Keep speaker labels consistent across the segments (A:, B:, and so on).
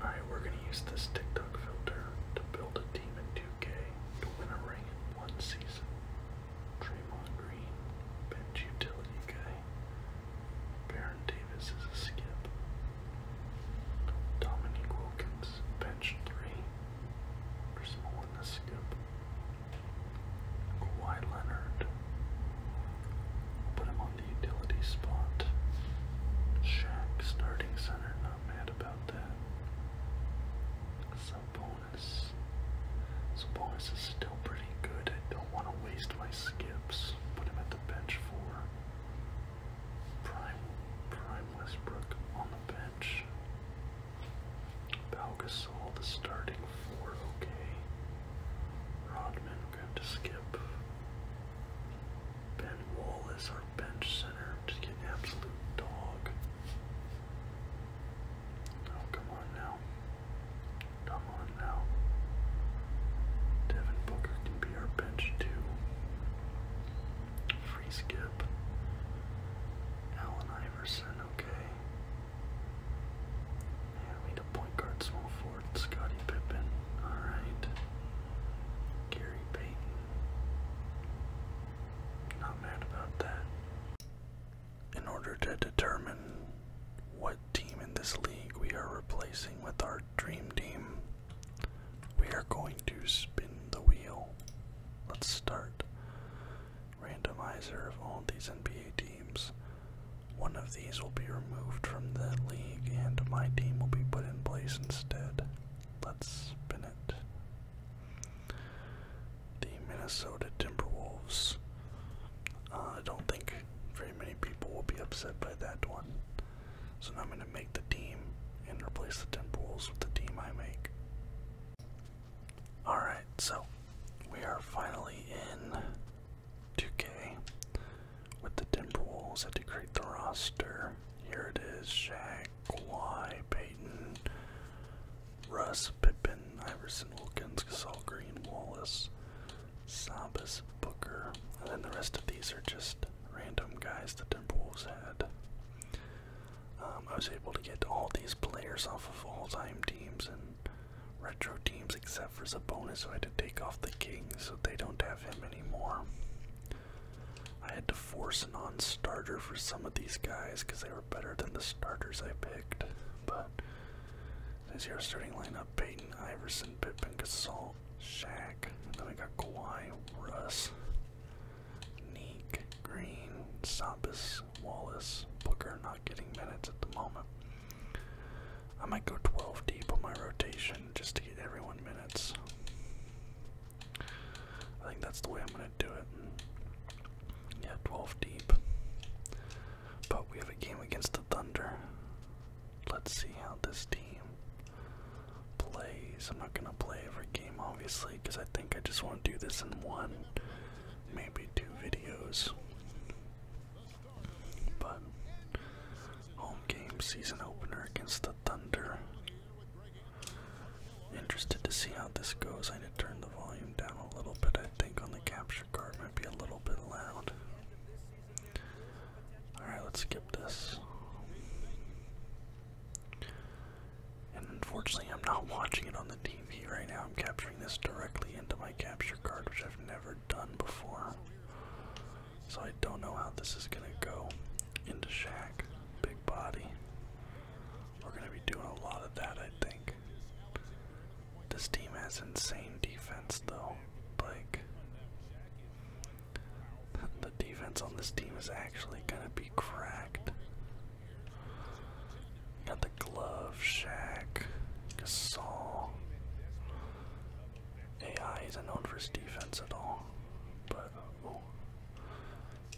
A: Alright, we're gonna use this TikTok filter to build a team 2K to win a ring in one season. Draymond Green, bench utility guy. Baron Davis is a skip. Dominique Wilkins, bench three. Chris Mullen, a skip. Kawhi Leonard. put him on utility spot. Shack starting center, not mad about that. Some Sabonis. Bonus is still pretty good. I don't want to waste my skips. Put him at the bench for Prime Prime Westbrook on the bench. Pau the starting four, okay. Rodman going to skip Ben Wallace, our bench center, to get absolute dog. Oh, come on now. Come on now. Devin Booker can be our bench too. Free skip. Allen Iverson, okay. we need a point guard small forward. Scotty Pippen. Alright. Gary Payton. Not mad about that. In order to determine what team in this league we are replacing with our dream team, we are going to spin the wheel. Let's start. Randomizer of all these NBA teams. One of these will be removed from the league and my team will be put in place instead. Let's spin it. The Minnesota Timberwolves. Uh, I don't think very many people will be upset by that one. So I'm going to make the team and replace the Timberwolves with the team I make. Alright, so we are finally in 2K with the Timberwolves. Had to create the roster. Here it is: Shaq, Kawhi, Payton, Russ, Pippen, Iverson, Wilkins, Gasol, Green, Wallace, Sabas, Booker, and then the rest of these are just random guys the Timberwolves had. Um, I was able to get all these players off of all-time teams and retro teams, except for Sabonis, so I had to take off the Kings, so they don't have him anymore. I had to force a non starter for some of these guys because they were better than the starters I picked. But this year's starting lineup Peyton, Iverson, Pippen, Gasol, Shaq. Then we got Kawhi, Russ, Neek, Green, Sabas, Wallace, Booker not getting minutes at the moment. I might go 12 deep on my rotation just to get everyone minutes. I think that's the way I'm going to do it. Yeah, 12 deep. But we have a game against the Thunder. Let's see how this team plays. I'm not going to play every game, obviously, because I think I just want to do this in one, maybe two videos. But Home game season opener against the Thunder. Interested to see how this goes. I need to turn the volume down a little bit, I think, on the capture card. Might be a little bit loud. Alright, let's skip this. And unfortunately, I'm not watching it on the TV right now. I'm capturing this directly into my capture card, which I've never done before. So I don't know how this is gonna go into Shaq. Big body. We're gonna be doing a lot of that, I think. This team has insane defense, though. Like, the defense on this team is actually gonna be cracked. Got the glove, Shaq, Gasol. AI isn't known for his defense at all. But, oh.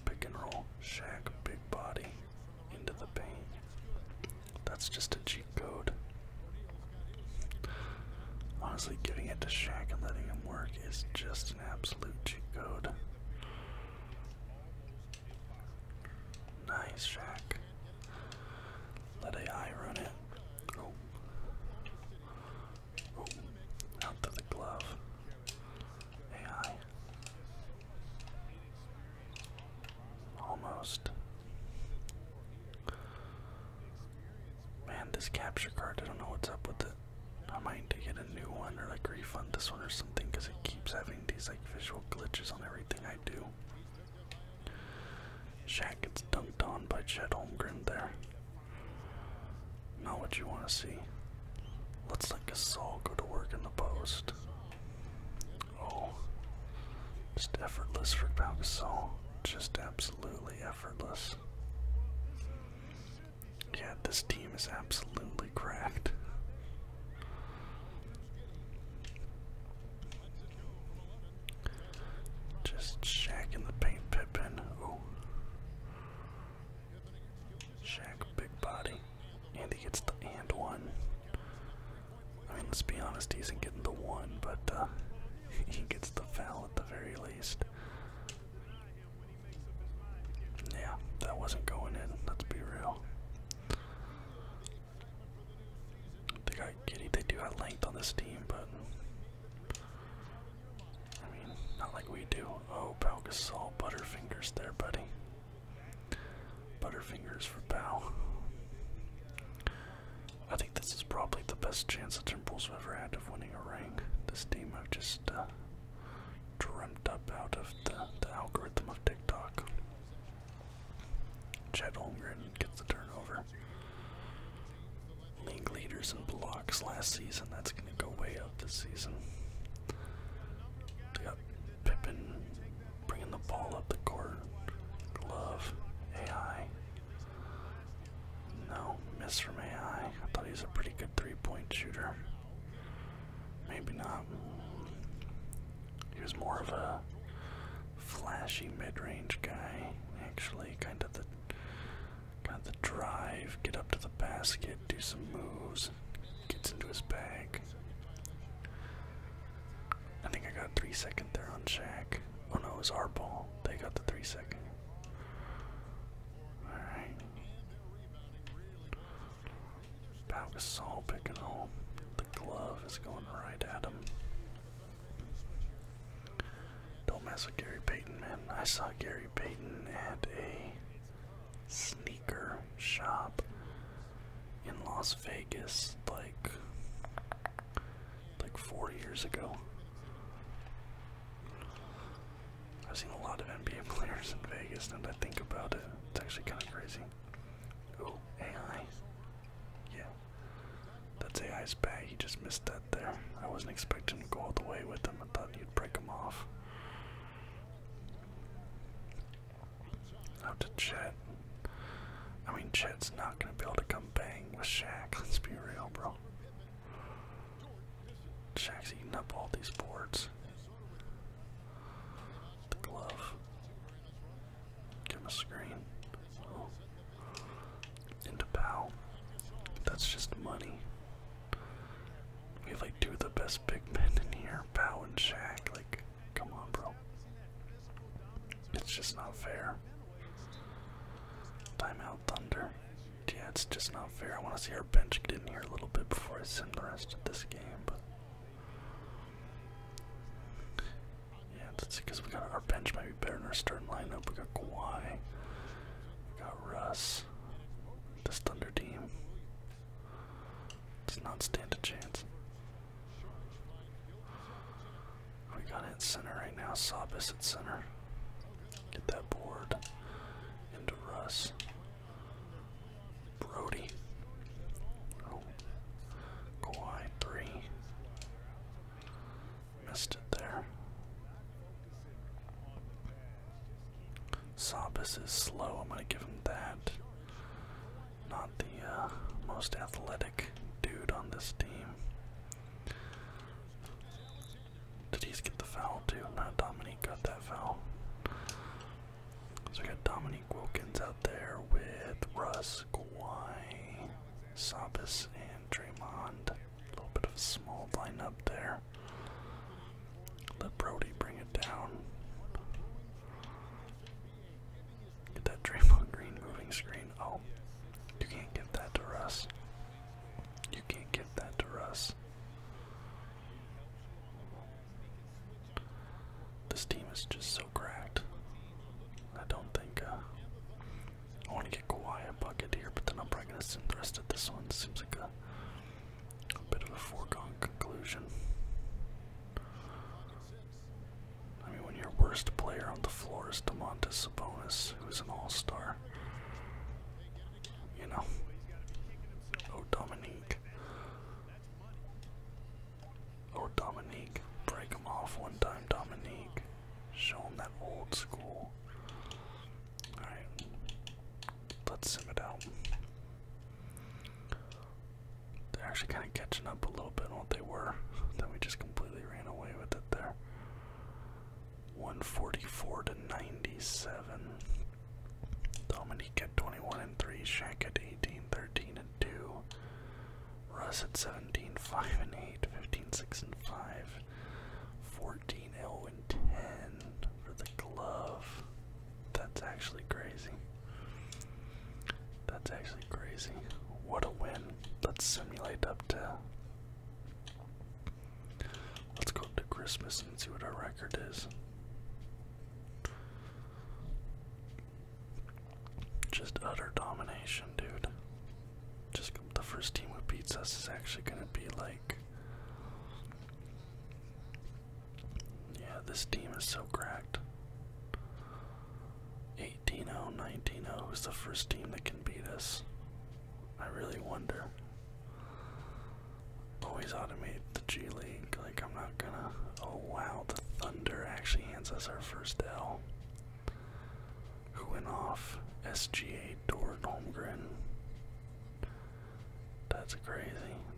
A: Pick and roll. Shaq, big body. Into the paint. That's just a cheat code. Honestly, giving it to Shaq and letting him work is just an absolute cheat code. Nice, Shaq. Let AI run it. Oh out of the glove. AI. Almost. Man, this capture card, I don't know what's up with it. I might need to get a new one or like refund this one or something because it keeps having these like visual glitches on everything I do. Shaq gets dunked on by Chet Holmgren there. Not what you want to see. Looks like let Gasol go to work in the post. Oh, just effortless for Pau Gasol. Just absolutely effortless. Yeah, this team is absolutely cracked. Just Shaq in the paint, pipping. Oh, Shaq, big body. And he gets the and one. I mean, let's be honest, he's not getting the one, but uh, he gets the foul at the very least. Yeah, that wasn't going in, let's be real. They got giddy, they do have length on this team, but I mean, not like we do. Oh, Pau Gasol, Butterfingers there, buddy. Butterfingers for Pau. I think this is probably the best chance the Timberwolves have ever had of winning a ring. This team have just uh, dreamt up out of the, the algorithm of TikTok. Chet Holmgren gets the turnover league leaders in blocks last season. That's going to go way up this season. They got Pippin bringing the ball up the court. Glove. AI. No, miss from AI. I thought he was a pretty good three point shooter. Maybe not. He was more of a flashy mid range guy, actually, kind of the Got the drive, get up to the basket, do some moves, gets into his bag. I think I got three second there on Shaq. Oh no, it was our ball. They got the three second. Alright. Pau Gasol picking home. The glove is going right at him. Don't mess with Gary Payton, man. I saw Gary Payton at a sneaker shop in Las Vegas like like four years ago. I've seen a lot of NBA players in Vegas, and I think about it. It's actually kind of crazy. Oh, AI. Yeah. That's AI's bag. He just missed that there. I wasn't expecting to go all the way with him. I thought you'd break him off. Out to Chet. I mean, Chet's not gonna be able to come bang with Shaq. Let's be real, bro. Shaq's eating up all these boards. The glove. Give him screen into PAL. That's just money. We have like two of the best big men in here, PAL and Shaq. Like, come on, bro. It's just not fair. Timeout Thunder. Yeah, it's just not fair. I want to see our bench get in here a little bit before I send the rest of this game, Yeah, that's because we got our bench might be better in our starting lineup. We got Kawhi. We got Russ. This Thunder team does not stand a chance. We got it in center right now. Sabis at center. Get that board into Russ. Brody. Oh. Kawhi three. Missed it there. Sabas is slow. I'm going to give him that. Not the uh, most athletic dude on this team. Did he get the foul too? No, Dominique got that foul. So we got Dominique Wilkins out there with Russ, Kawhi, Sabas, and Draymond. A little bit of a small line up there. Let Brody bring it down. Get that Draymond Green moving screen. Oh, you can't give that to Russ. You can't give that to Russ. This team is just so cracked. I don't think uh, I want to get Kawhi a bucket here, but then I'm probably going to send the rest of this one. Seems like a, a bit of a foregone conclusion. I mean, when your worst player on the floor is DeMontis Sabonis, who's an all-star, you know. Oh, Dominique. Oh, Dominique. Break him off one time, Dominique. Show him that old school. Alright. Let's sim it out. They're actually kind of catching up a little bit on what they were. Then we just completely ran away with it there. 144 to 97. Dominique at 21 and 3. Shaq at 18, 13 and 2. Russ at 17, 5 and 8. 15, 6 and 5. 13, 0 10 for the glove. That's actually crazy. That's actually crazy. What a win. Let's simulate up to. Let's go up to Christmas and see what our record is. Just utter domination, dude. Just the first team who beats us is actually going to be like. Yeah, this team is so cracked. 18 0, 19 is the first team that can beat us. I really wonder. Always automate the G League. Like, I'm not gonna. Oh wow, the Thunder actually hands us our first L who went off SGA Dort Holmgren. That's crazy.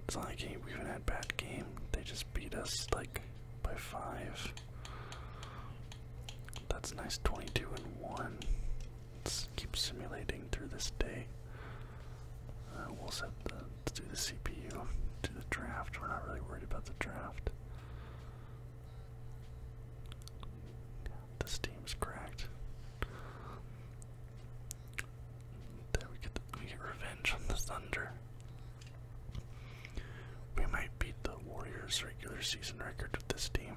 A: It's not like we even had bad game. They just beat us like by five. That's nice 22 and 1. Let's keep simulating through this day. Uh, we'll set the do the CPU, do the draft. We're not really worried about the draft. The steam's cracked. There we get, we get revenge on the Thunder. We might beat the Warriors' regular season record with this team.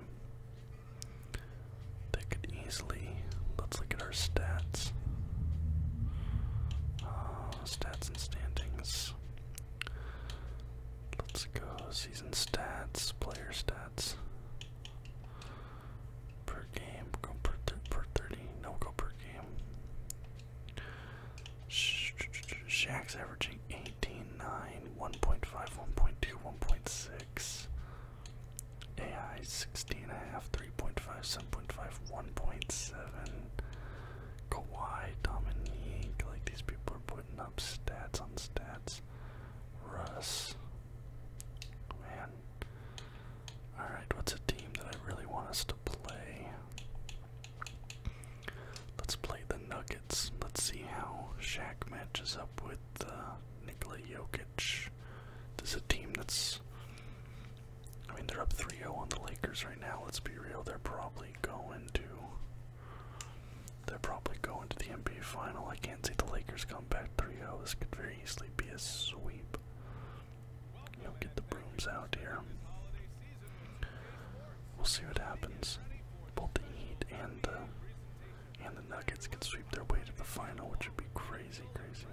A: They could easily. Let's look at our stats. Uh, stats and standings. Let's go season stats, player stats stats per game. Go per per thirty. No, go per game. Sh Shaq's averaging eighteen, nine, one point five, 9, 1.5, AI 16 3.5, 7.5, 1.7. Kawhi, Dominique, like these people are putting up stats on stats. Russ. Man. Alright, what's a team that I really want us to play? Let's play the Nuggets. Let's see how Shaq matches up with uh, Nikola Jokic. This is a team that's. I mean, they're up 3 0 on the Lakers right now. Let's be real, they're probably going to they're probably going to the NBA final. I can't see the Lakers come back 3 0. This could very easily be a sweep. You know, get the brooms out here. We'll see what happens. Both the Heat and the, and the Nuggets can sweep their way to the final, which would be crazy, crazy.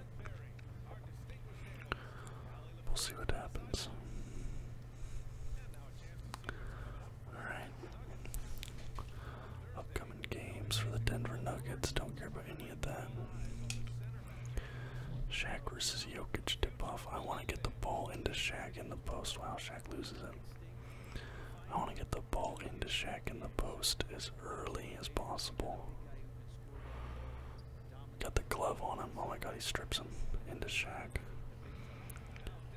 A: We'll see what happens. Alright. Upcoming games for the Denver Nuggets. Don't care about any of that. Shaq versus Jokic tip off. I want to get the ball into Shaq in the post. while Shaq loses it. I want to get the ball into Shaq in the post as early as possible. Got the glove on him. Oh my god, he strips him into Shaq.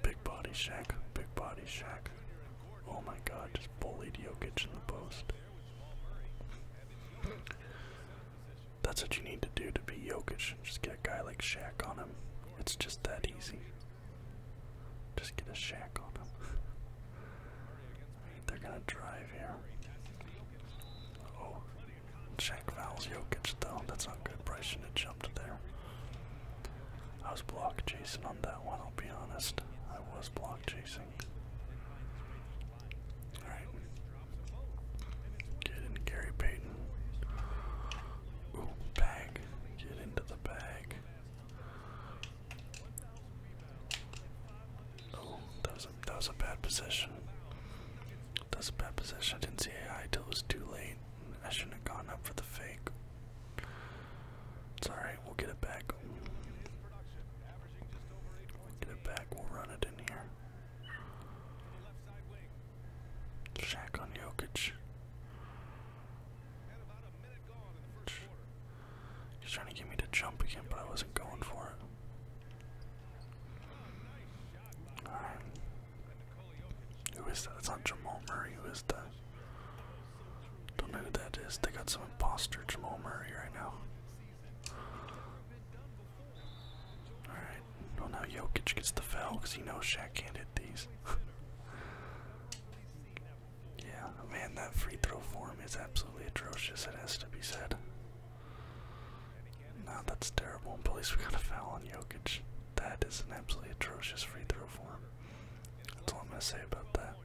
A: Big body Shaq. Big body Shaq. Oh my god, just bullied Jokic in the post. That's what you need to do to be Jokic. Just get a guy like Shaq on him. It's just that easy. Just get a Shaq on him. They're gonna drive here. Uh oh, Shaq fouls Jokic though. That's not good. Bryce should have jumped there. I was block chasing on that one, I'll be honest. I was block chasing. Alright. Get in, Gary Payton. bag. Get into the bag. Oh, that was that was a bad position. That a bad position. I didn't see AI till it was too late. I shouldn't have gone up for the fake. It's alright, we'll get it back. get it back, we'll run it in here. Shack on Jokic. He's trying to get me to jump again, but I wasn't going for it. Alright. Who is that? That's not Jamal Murray. Who is that? Don't know who that is. They got some imposter Jamal Murray right now. Alright. Well, now Jokic gets the foul because he knows Shaq can't hit these. yeah, man, that free throw form is absolutely atrocious. It has to be said. No, that's terrible. At least we got a foul on Jokic. That is an absolutely atrocious free throw form. That's all I'm gonna say about that.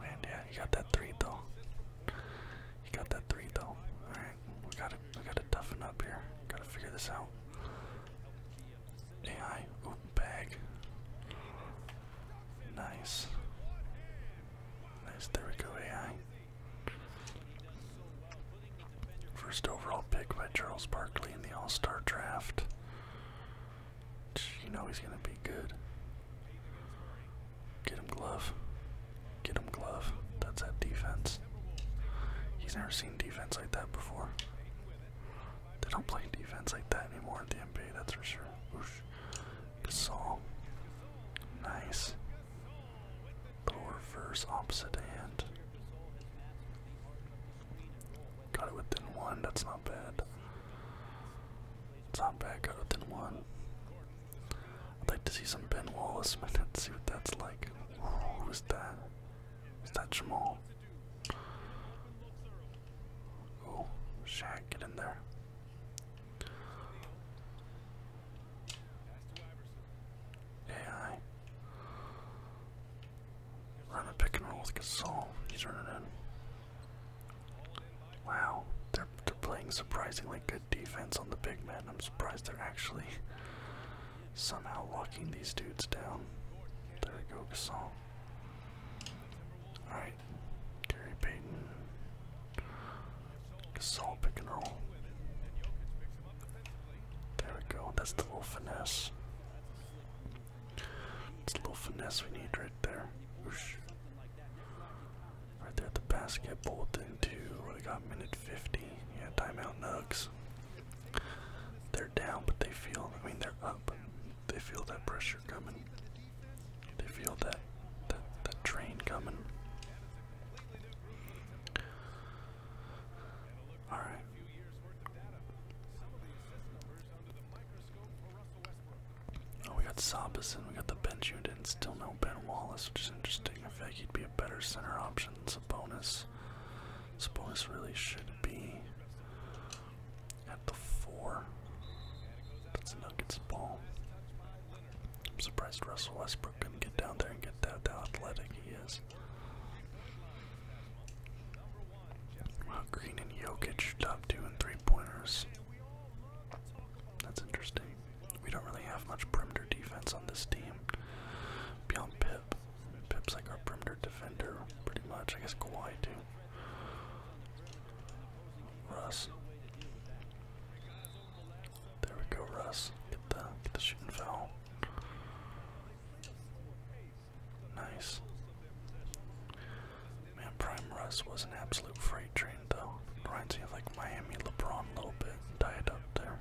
A: Man, yeah, you got that three though. You got that three though. All right, we gotta we gotta toughen up here. Gotta figure this out. AI, bag. Nice. Nice. There we go. AI. First overall pick by Charles Barkley in the All Star Draft. You know he's going to be good. Get him glove. Get him glove. That's that defense. He's never seen defense like that before. They don't play defense like that anymore in the NBA, that's for sure. Gasol. Nice. reverse opposite hand. Got it within one, that's not bad. It's not bad, got within one. I'd like to see some Ben Wallace minutes, see what that's like. Ooh, who's that? Is that Jamal? Oh, Shaq, get in there. AI. Run a pick and roll with Gasol. He's running in. Wow, they're playing surprisingly good defense on the big man. I'm surprised they're actually somehow locking these dudes down. There we go, Gasol. Alright, Gary Payton. Gasol pick and roll. There we go, that's the little finesse. It's a little finesse we need right there. Right there at the basket, Bolton to what got minute 50. Yeah, timeout nugs. They're down, but they feel, I mean, they're up. They feel that pressure coming. They feel that, that, that train coming. All right. Oh, we got and we got the bench unit, and still no Ben Wallace, which is interesting. I feel he'd be a better center option. Sabonis. Sabonis really should be at the four. That's Nuggets ball. I'm surprised Russell Westbrook couldn't get down there and get that how athletic he is. Wow, Green and Jokic top two and three pointers. That's interesting. We don't really have much perimeter defense on this team. Beyond Pip. Pip's like our perimeter defender, pretty much. I guess Kawhi too. Russ. There we go, Russ. Get the get the shooting foul. Nice. Man, Prime Russ was an absolute freight train, though. Reminds me of like Miami LeBron a little bit, tied up there.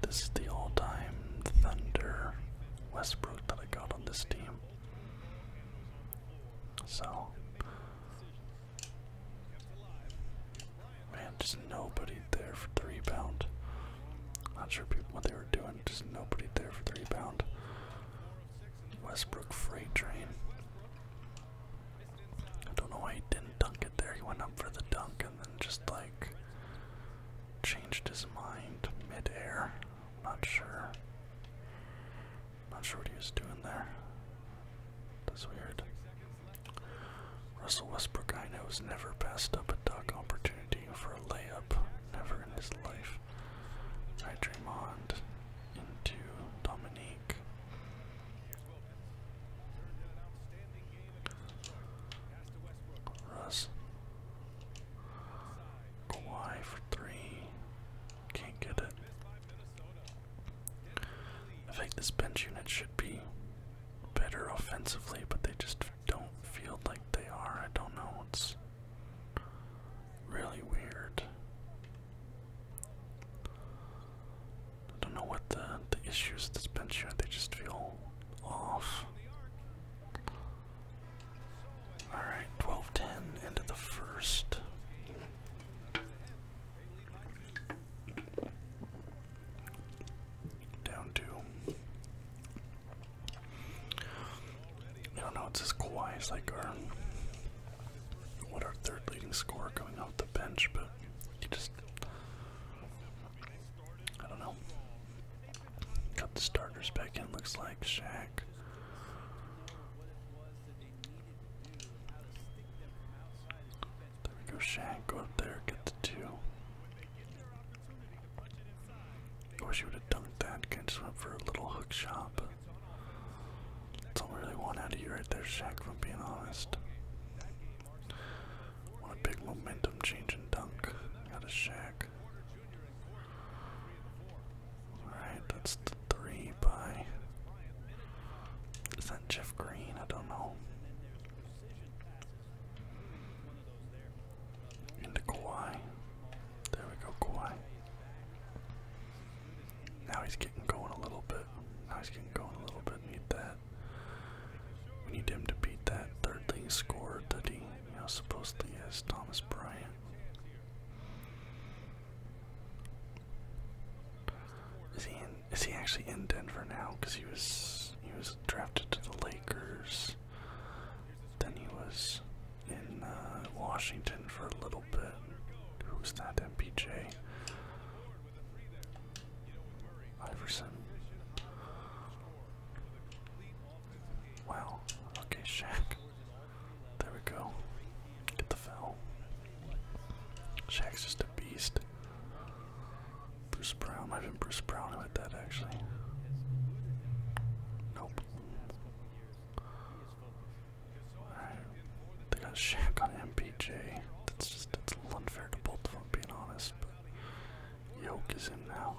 A: This is the all-time Thunder Westbrook that I got on this team. So, man, just nobody there for the rebound. Not sure what they were doing, just nobody there for the rebound. Westbrook freight train. I don't know why he didn't dunk it there. He went up for the dunk and then just like changed his mind midair. Not sure. Not sure what he was doing there. That's weird. Russell Westbrook, I know, has never passed up duck opportunity for a layup. Never in his life. Right, Draymond into Dominique. Russ. Kawhi for three. Can't get it. I think this bench unit should be better offensively, but they just don't feel like they are. I don't know. It's really weird. I don't know what the the issues this has been They just feel off. All right, twelve ten into the first down to. I don't know, it says Kawhi like our, what our third leading scorer coming off the bench, but he just, I don't know. Got the starters back in, looks like, Shaq. There we go, Shaq, go up there, get the two. I wish you would have dunked that. Kind just went for a little hook shot. that's all we really want out of you right there, Shaq, From being honest. What a big momentum change and dunk. Got a Shaq. Alright, that's the three by. Is that Jeff Green? I don't know. Into Kawhi. There we go, Kawhi. Now he's getting going a little bit. Now he's getting going a little bit. Need that. We need him to beat that third thing. Scored that he, you know, supposedly is Thomas Bryant. Is he in, is he actually in Denver now? Because he was he was drafted to the Lakers. Then he was in uh, Washington for a little bit. Who's that? MPJ? Iverson. Wow. Okay, Shaq. There we go. Get the foul. Shaq's just a beast. Bruce Brown. i have been Bruce Brown who that actually. Nope. Alright. They got Shaq on MPJ. That's just that's unfair to both of them being honest, Yoke is in now.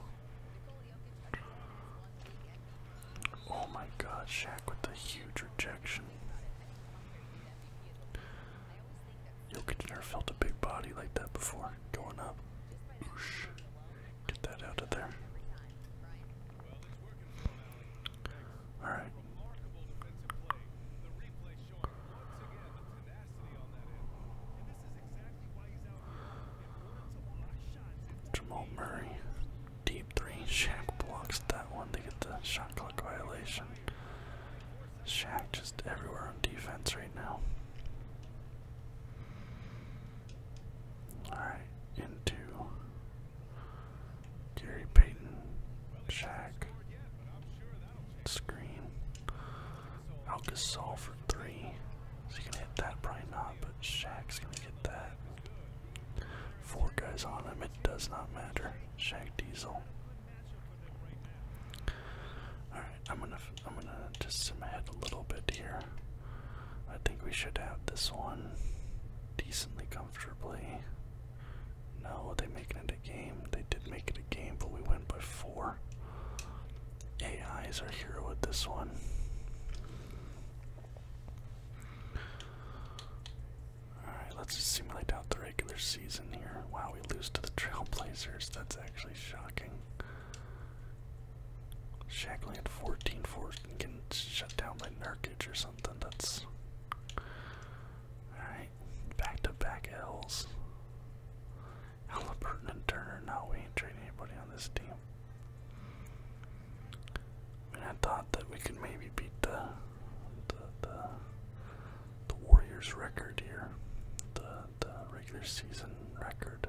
A: Oh my god, Shaq with the huge rejection. Jokic never felt a big body like that before going up. Get that out of there. Alright. Jamal Murray. Deep three. Shaq blocks that one to get the shot clock violation. Shaq just everywhere on defense right now. Alright, into Gary Payton, Shaq, screen. Alcasol for three. Is he gonna hit that? Probably not, but Shaq's gonna get that. Four guys on him, it does not matter. Shaq Diesel. I'm gonna I'm gonna just zoom ahead a little bit here. I think we should have this one decently comfortably. No, they making it a game. They did make it a game, but we went by four. AI is our hero with this one. Alright, let's simulate out the regular season here. Wow, we lose to the Trailblazers. That's actually shocking. Shackland 14 force and getting shut down by Nurkic or something. That's. Alright, back to back L's. Halliburton and Turner. No, we ain't trading anybody on this team. I thought that we could maybe beat the, the, the, the Warriors' record here, the, the regular season record.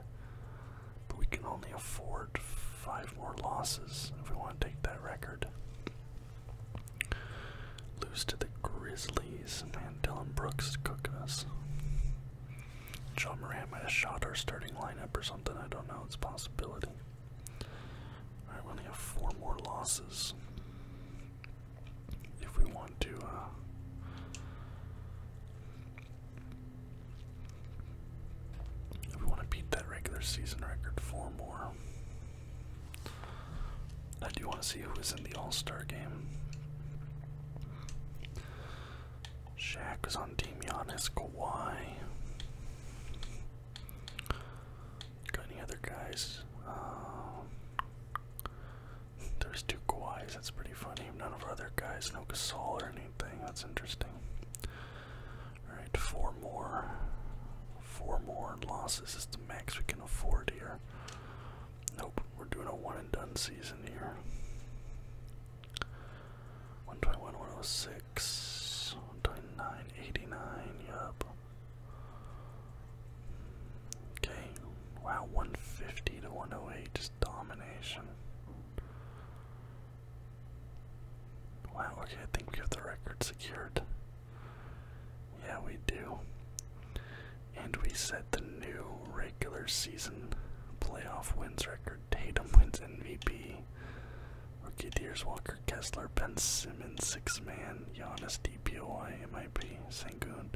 A: But we can only afford five more losses if we want to take that record. Lose to the Grizzlies. Man, Dylan Brooks is cooking us. John Moran might have shot our starting lineup or something. I don't know. It's a possibility. Alright, we only have four more losses. If we want to, uh, we want to beat that regular season record for more. I do want to see who is in the All Star game. Shaq is on Team Giannis, Kawhi. Got any other guys? Um, there's two Kawhis, that's pretty funny. None of our other guys, no Gasol or anything, that's interesting. Alright, four more. Four more losses is the max we can afford here. Nope, we're doing a one and done season here. 121, 106, yup. Okay, wow, 150 to 108, just domination. Wow, okay, I think we have the record secured. Yeah, we do. And we set the new regular season playoff wins record. Tatum wins MVP. Rookie Deers Walker Kessler, Ben Simmons, six man, Giannis DPOI, MIP, Sangoon,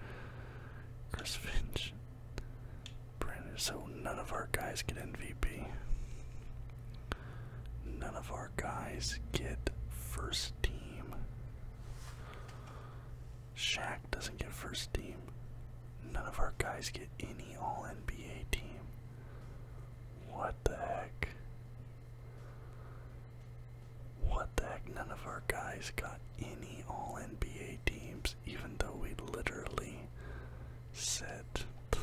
A: Chris Finch, so none of our guys get MVP. None of our guys get first team. Shaq doesn't get first team. None of our guys get any all NBA team. What the heck? What the heck? None of our guys got any All NBA teams, even though we literally set the,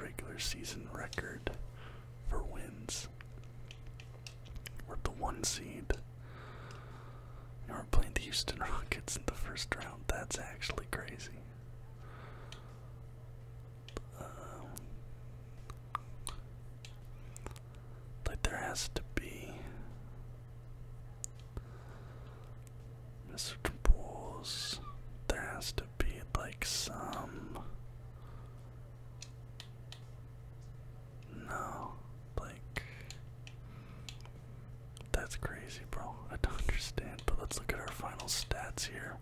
A: regular season record for wins. We're the one seed. we're playing the Houston Rockets in the first round. That's actually crazy. Um, like there has to be Mr. Bulls. There has to be like some. No, like. That's crazy, bro. I don't understand, but let's look at our final stats here.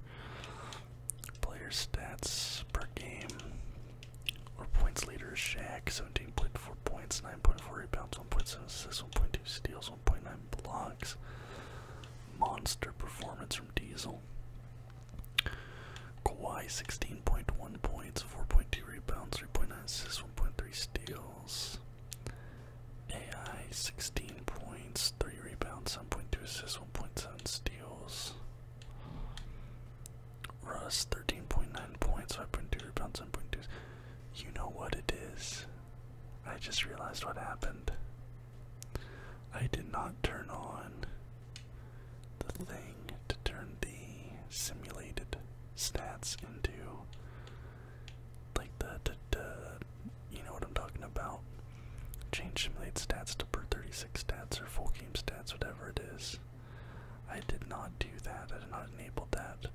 A: Player stats per game. Or points leader Seventeen Shaq, 17.4 points, 9.4 rebounds, 1.7 assists, 1.2 steals, 1.9 blocks. Monster performance from Diesel. Kawhi 16.1 points, 4.2 rebounds, 3.9 assists, 1.3 steals. AI 16 points, 3 rebounds, 7.2 assists, 1.7 steals. Russ 13.9 points, 5.2 rebounds, 7.2. You know what it is. I just realized what happened. I did not turn on the thing to turn the simulated stats into like the, you know what I'm talking about. Change simulated stats to per 36 stats or full game stats, whatever it is. I did not do that. I did not enable that.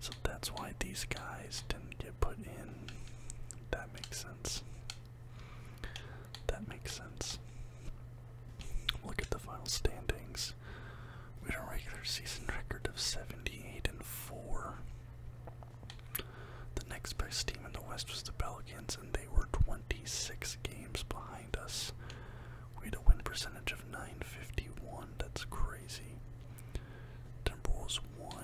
A: So that's why these guys didn't get put in. That makes sense. That makes sense. Look at the final standings. We had a regular season record of 78 and 4. The next best team in the West was the Pelicans, and they were 26 games behind us. We had a win percentage of 951. That's crazy. Timberwolves 1,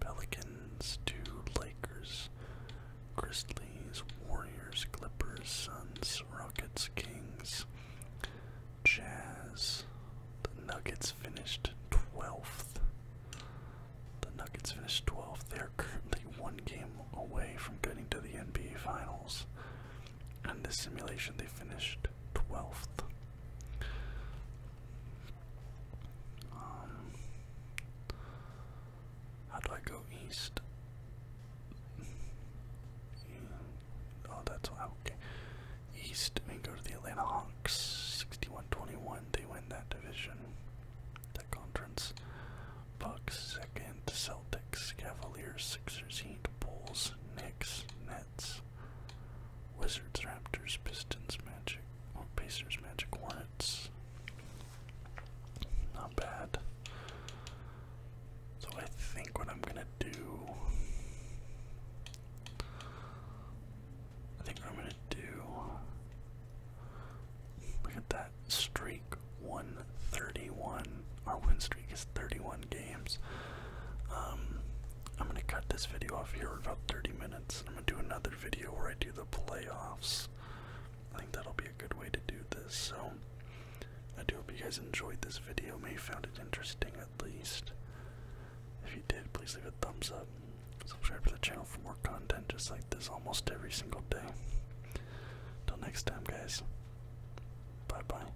A: Pelicans 2, Lakers, Grizzlies, Warriors, Clippers, Suns, Rockets, Kings, Jazz. The Nuggets finished 12th. The Nuggets finished 12th. They're currently one game away from getting to the NBA Finals and the simulation they finished 12th. Um, how do I go east? Oh, that's why. Okay. East and go to the Atlanta Hawks. 61-21. They win that division, that conference. Bucks second. Celtics, Cavaliers, Sixers, Heat, Bulls, Knicks, Wizards, Raptors, Pistons, Magic, or Pacers, Magic, Hornets. Not bad. So I think what I'm gonna do, I think I'm gonna do. Look at that streak, 131. Our streak streak 31 games. Um, I'm gonna cut this video off here in about 30 minutes. I'm gonna do another video where I do the playoffs. I think that'll be a good way to do this. So I do hope you guys enjoyed this video, may have found it interesting at least. If you did, please leave a thumbs up. Subscribe to the channel for more content just like this almost every single day. Until next time, guys. Bye bye.